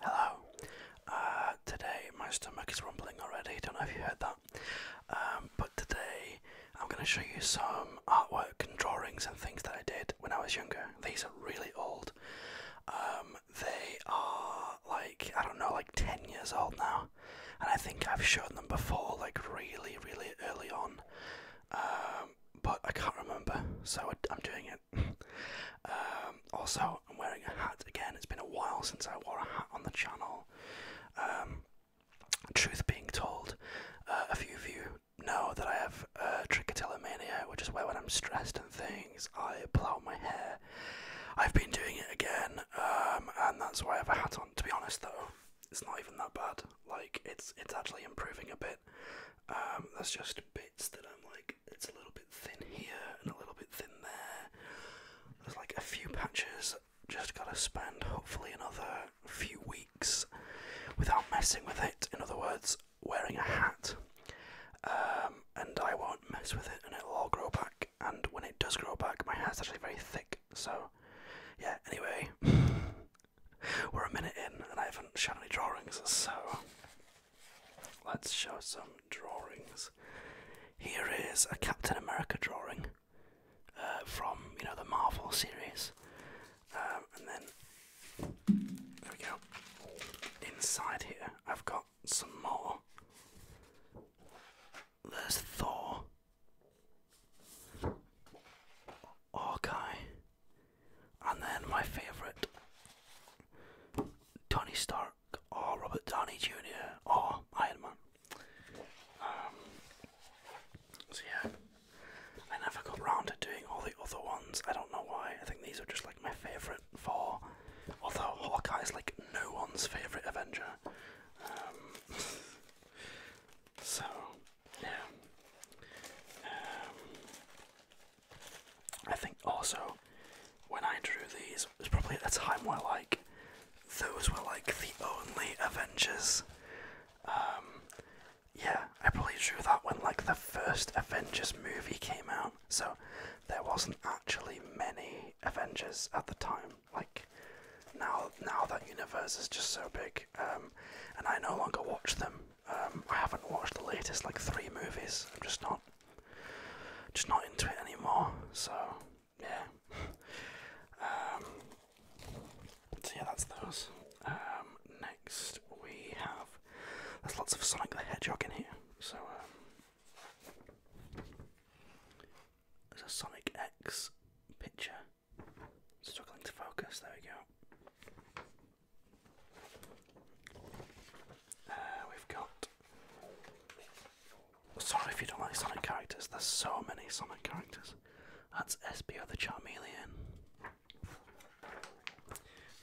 Hello. Uh, today my stomach is rumbling already. Don't know if you heard that. Um, but today I'm going to show you some artwork and drawings and things that I did when I was younger. These are really old. Um, they are like I don't know, like ten years old now, and I think I've shown them before, like really, really early on. Um, but I can't remember, so I'm doing it um, also, I'm wearing a hat again. It's been a while since I wore a hat on the channel. Um, truth being told, uh, a few of you know that I have uh, trichotillomania, which is where when I'm stressed and things, I plow my hair. I've been doing it again, um, and that's why I have a hat on. To be honest, though, it's not even that bad. Like, it's it's actually improving a bit. Um, there's just bits that I'm like it's a little bit thin here and a little bit thin there. There's like a few patches. Just gotta spend hopefully another few weeks without messing with it. In other words, wearing a hat, um, and I won't mess with it, and it'll all grow back. And when it does grow back, my hair's actually very thick. So, yeah. Anyway, we're a minute in, and I haven't shown any drawings, so Let's show some drawings. Here is a Captain America drawing uh, from you know the Marvel series, um, and then there we go. Inside here, I've got some more. There's Thor, Hawkeye, and then my favourite Tony Stark or Robert Downey Jr. or Iron Man. Um, so yeah, I never got round to doing all the other ones. I don't know why. I think these are just like my favourite four. Although Hawkeye is like no one's favourite Avenger. Um, so yeah. Um, I think also when I drew these, it was probably at a time where like those were like the only Avengers. Um, yeah, I probably drew that when like the first Avengers movie came out, so there wasn't actually many Avengers at the time. Like now, now that universe is just so big, um, and I no longer watch them um, I haven't watched the latest like three movies. I'm just not, just not into it anymore. So yeah. um, so yeah, that's those. Um, next we have there's lots of Sonic the Hedgehog in here. So um, there's a Sonic X picture. Struggling to focus. There we go. Uh, we've got. Sorry if you don't like Sonic characters, there's so many Sonic characters. That's SBO the Charmeleon.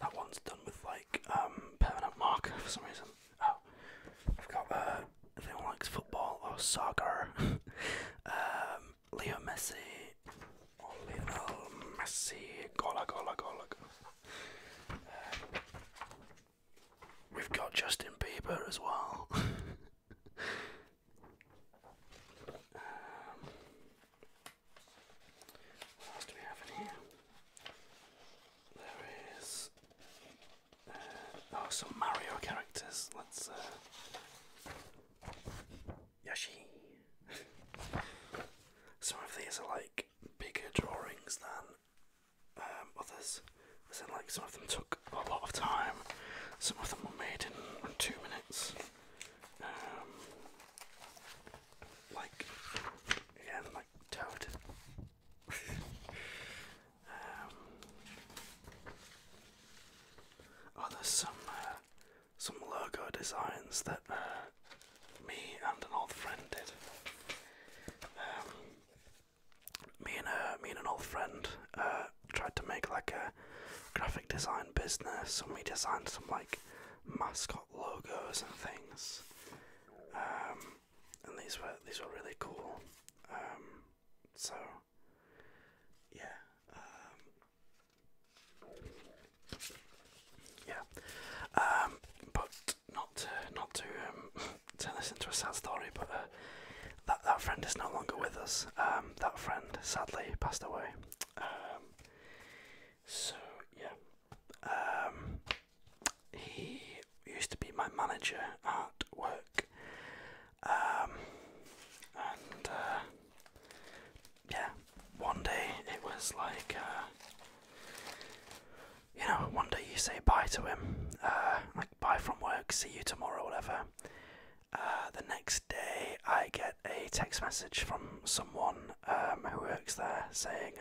That one's done with like um, permanent marker for some reason. Oh, I've got uh, if anyone likes football or soccer, um, Leo Messi, on Messi. Gola, gola, gola. we've got Justin Bieber as well. what else do we have here? There is uh, oh some Mario characters. Let's uh, Yoshi. some of these are like bigger drawings than um, others. As in, like some of them took a lot of time. Some of them were made in two minutes. Um, like yeah, like Toad. um, oh, some uh, some logo designs that uh, me and an old friend did. Um, me and uh, me and an old friend uh, tried to make like a graphic design business, and we designed some like mascot logos and things. Um, and these were these were really cool. Um, so yeah, yeah, um, but not to not to um, turn this into a sad story, but uh, that that friend is no longer with us. Um, that friend sadly passed away. so yeah, he used to be my manager at work. and uh, yeah, one day it was like, uh, you know, one day you say bye to him, uh, like bye from work, see you tomorrow, whatever. Uh, the next day, I get a text message from someone um, who works there saying,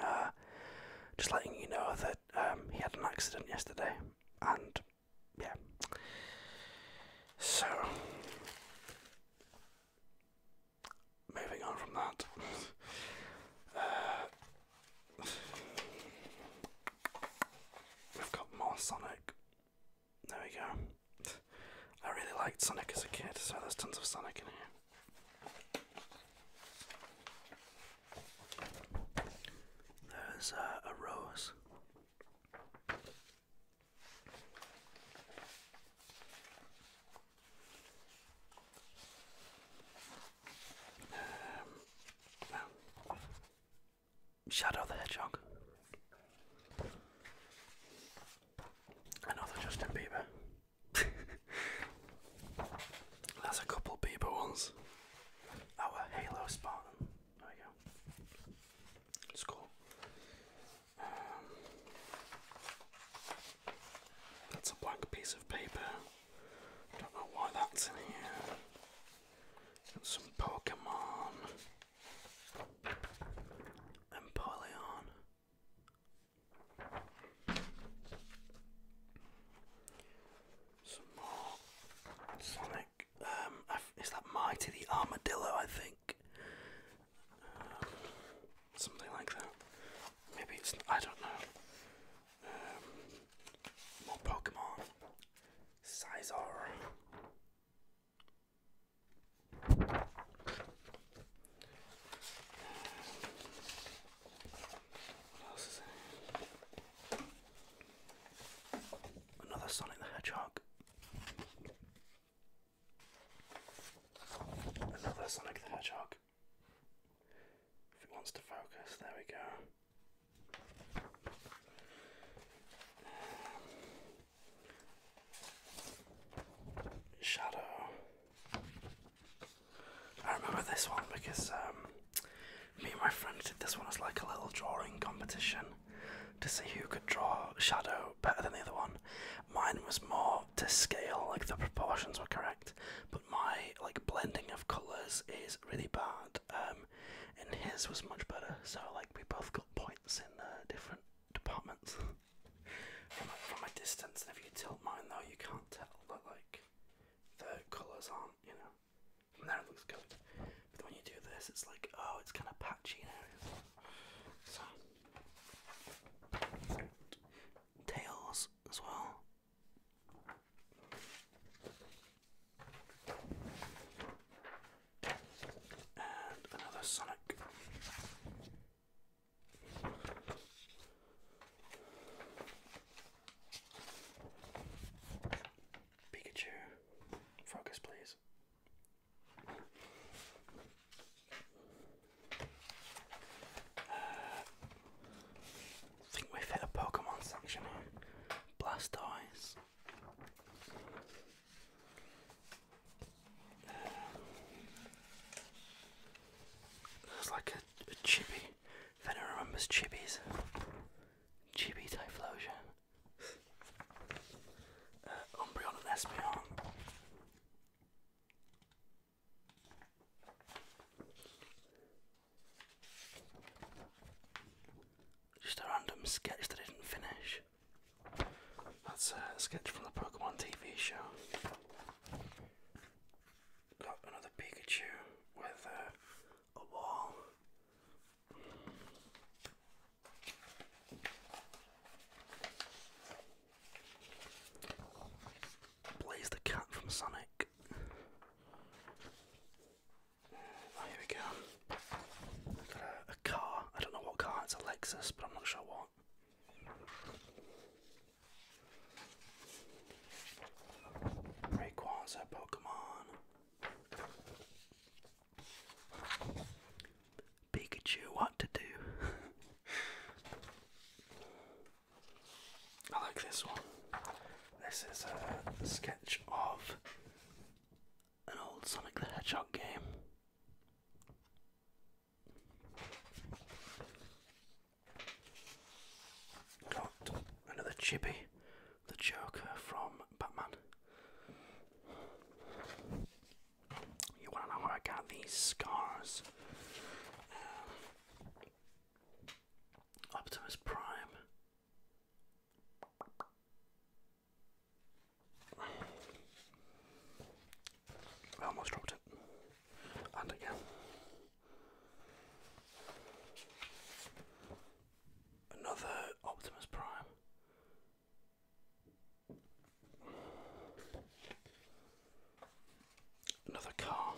just letting you know that um, he had an accident yesterday, and yeah. So, moving on from that. Uh, we've got more Sonic. There we go. I really liked Sonic as a kid, so there's tons of Sonic in here. There's uh, a rose. Um, oh. Shadow the Hedgehog. Another Justin Bieber. That's a couple Bieber ones. Our Halo Spartan. There we go. It's cool. Um, that's a blank piece of paper. Don't know why that's in here. some Pokemon. Empoleon. Some more Sonic. Um, is that Mighty the Armadillo? I think. Uh, something like that. Maybe it's, I don't know. Um, more Pokemon. Sizor. Uh, Another Sonic the Hedgehog. Another Sonic the Hedgehog. If it wants to focus, there we go. Shadow. I remember this one because um, me and my friend did this one as like a little drawing competition to see who could draw Shadow better than the other one. Mine was more to scale, like the proportions were correct, but my like blending of colours is really bad. Um, and his was much better. So like we both got points in uh, different departments from a, distance. And if you tilt mine though, you can't tell that like the colours aren't, you know. there it looks good, but when you do this, it's like oh, it's kind of patchy now. So tails as well. And another Sonic. Pikachu, focus please. I think we've hit a Pokemon section here. Blastoise. Um, there's like a, chibi. If anyone remembers chibis, chibi Typhlosion. Uh, Umbreon and Espeon. Just a random sketch that didn't finish. That's a sketch from the Pokemon TV show. Got another Pikachu with a wall. Blaze the Cat from Sonic. Oh, we go. a car. I don't know what car, it's a Lexus, but I'm not sure what. Rayquaza Pokemon. Pikachu what to do. I like this one. This is a sketch of an old Sonic the Hedgehog game. Got another chippy, the Joker from Batman. You want to know how I got these scars? Um, Optimus Prime. I almost dropped it. And again. Another Optimus Prime. Another car.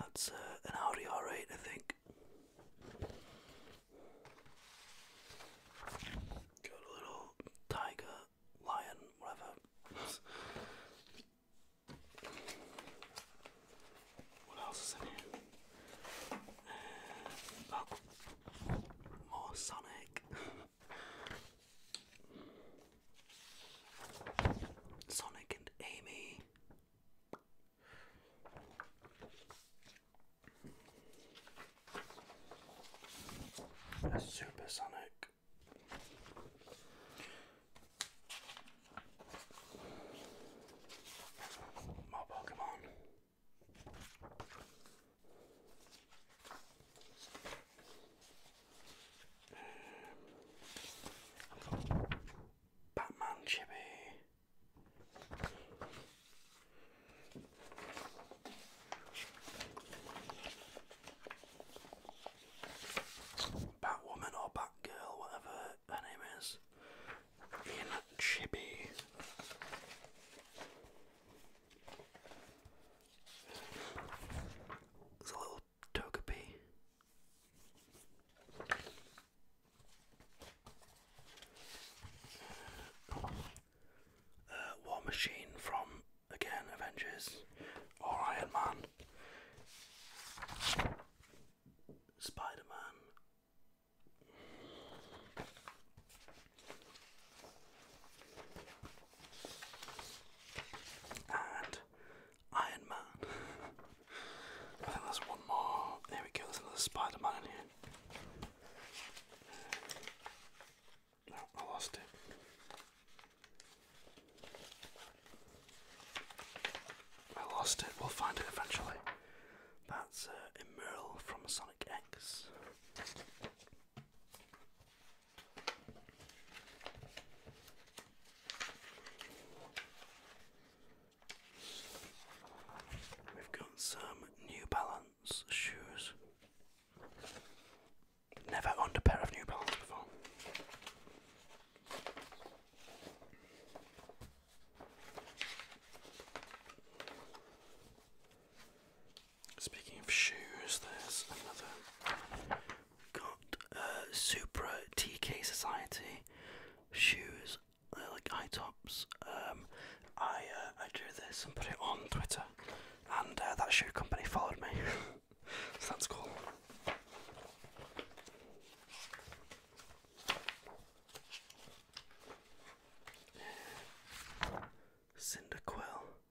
That's uh, an Audi R8, I think. Got a little tiger, lion, whatever. what else is in here? more Sonic. Sonic and Amy. A supersonic. More Pokemon. Batman Chibi. Batwoman or Batgirl, whatever her name is in Chibi. There's a little Togepi. Uh, War Machine from, again, Avengers or Iron Man. Spider Man and Iron Man. I think there's one more. There we go, there's another Spider Man in here. No, I lost it. I lost it. We'll find it eventually. That's uh, emerald from Sonic We've got some New Balance shoes. Never owned a pair of New Balance before. Speaking of shoes, there's another. Got uh, Supra TK Society shoes, They're uh, like high tops. Um, I uh, I drew this and put it on Twitter, and uh, that shoe company followed me, so that's cool. Cyndaquil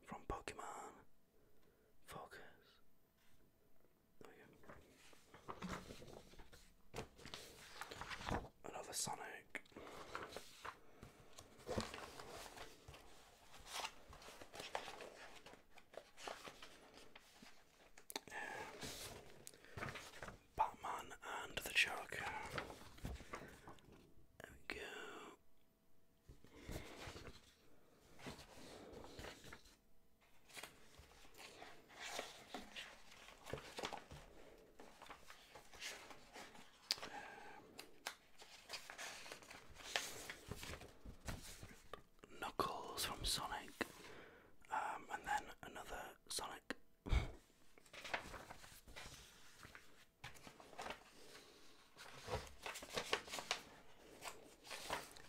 from Pokemon. Focus. Another Sonic. Batman and the Joker. There we go. Knuckles from Sonic, um, and then another Sonic.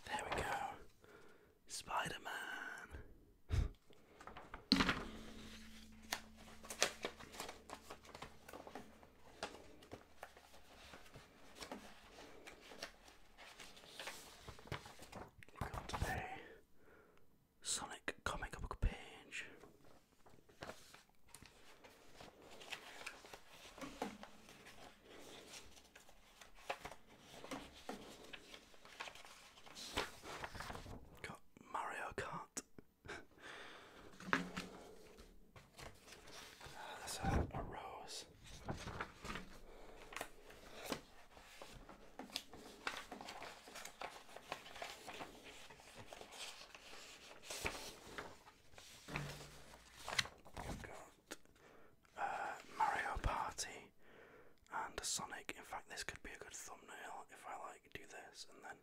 There we go. Spider Man. Got a Sonic comic book page. Got Mario Kart. uh, that's a rose. Uh, Mario Party and a Sonic. In fact, this could be a good thumbnail if I like do this and then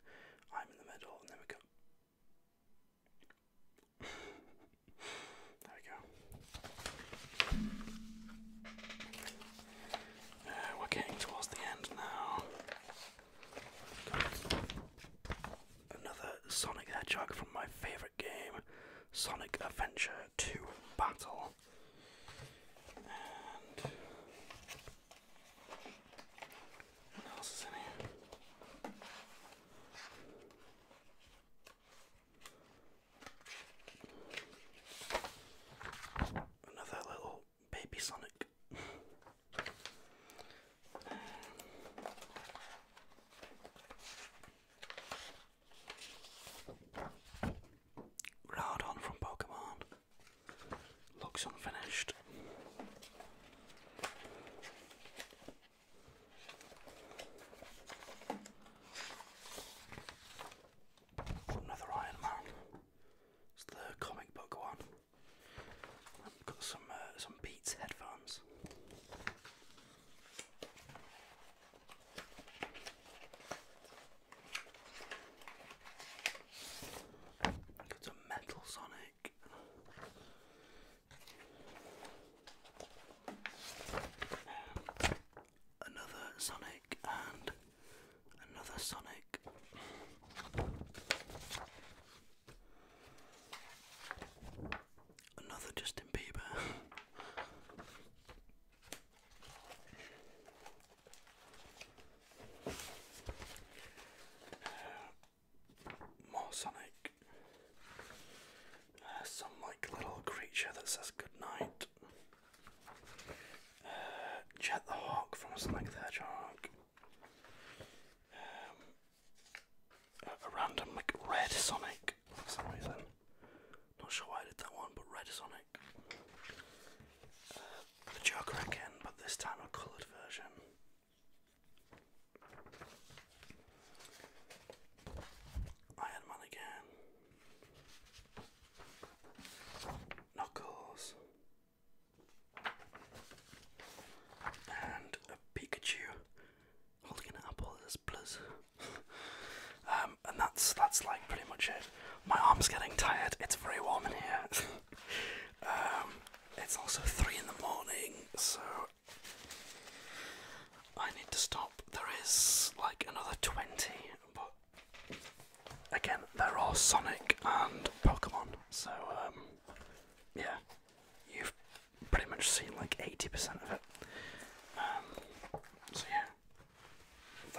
I'm in the middle and then we go. there we go. Uh, we're getting towards the end now. Another Sonic Hedgehog from my favourite game, Sonic Adventure 2 Battle. what else is in here? Another little Baby Sonic. um, from Pokemon. Looks unfinished. Another Iron Man. It's the comic book one. I've got some uh, some Beats headphones. got some Metal Sonic. another Sonic and another Sonic. Another Justin Bieber. more Sonic. Uh, some like little creature that says good night. Uh, the Hawk from Sonic the Hedgehog. a, random like Red Sonic for some reason. Not sure why I did that one, but Red Sonic. Uh, the Joker again, but this time a coloured version. Iron Man again. Knuckles, and a Pikachu holding an apple as plus. Um, and that's that's like pretty much it. My arm's getting tired. It's very warm in here. Um, it's also three in the morning, so I need to stop. There is like another twenty, again, they're all Sonic and Pokemon, so um, yeah, you've pretty much seen like 80% of it. Um, so yeah,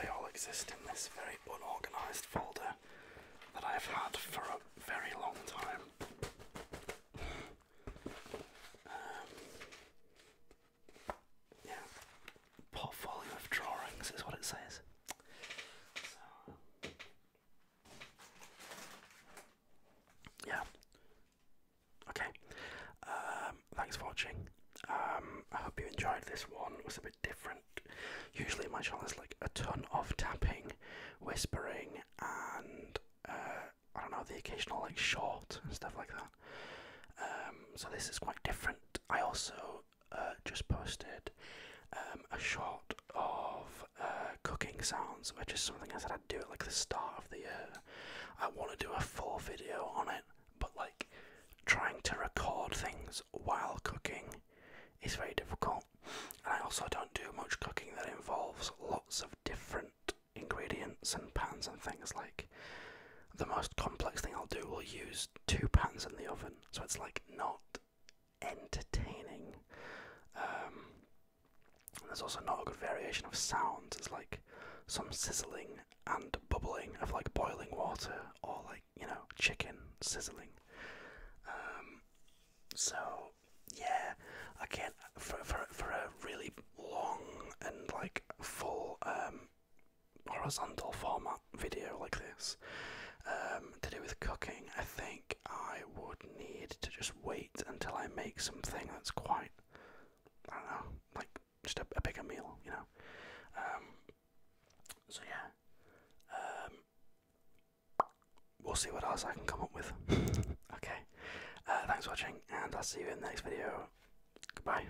they all exist in this very unorganised folder that I've had for a very long time. Um, yeah, portfolio of drawings is what it says. yeah. Okay. Um, thanks for watching. Um, I hope you enjoyed this one. It was a bit different. Usually, my channel is like a ton of tapping, whispering, and uh, I don't know the occasional like short and stuff like that. Um, so this is quite different. I also uh, just posted um, a shot of uh, cooking sounds, which is something I said I'd do at like the start of the year. I want to do a full video on it, but like trying to record things while cooking is very difficult. And I also don't do much cooking that involves lots of different ingredients and pans and things like the most complex thing I'll do will use two pans in the oven so it's like not entertaining. Um, there's also not a good variation of sounds. It's like some sizzling and bubbling of like boiling water or like you know chicken sizzling. Um, so yeah, I can't for for for a really long and like full um, horizontal format video like this um, to do with cooking, I think I would need to just wait until I make something that's quite, I don't know, like just a, bigger meal, you know. Um, so yeah, um, we'll see what else I can come up with. okay, uh, thanks for watching, and I'll see you in the next video. Goodbye.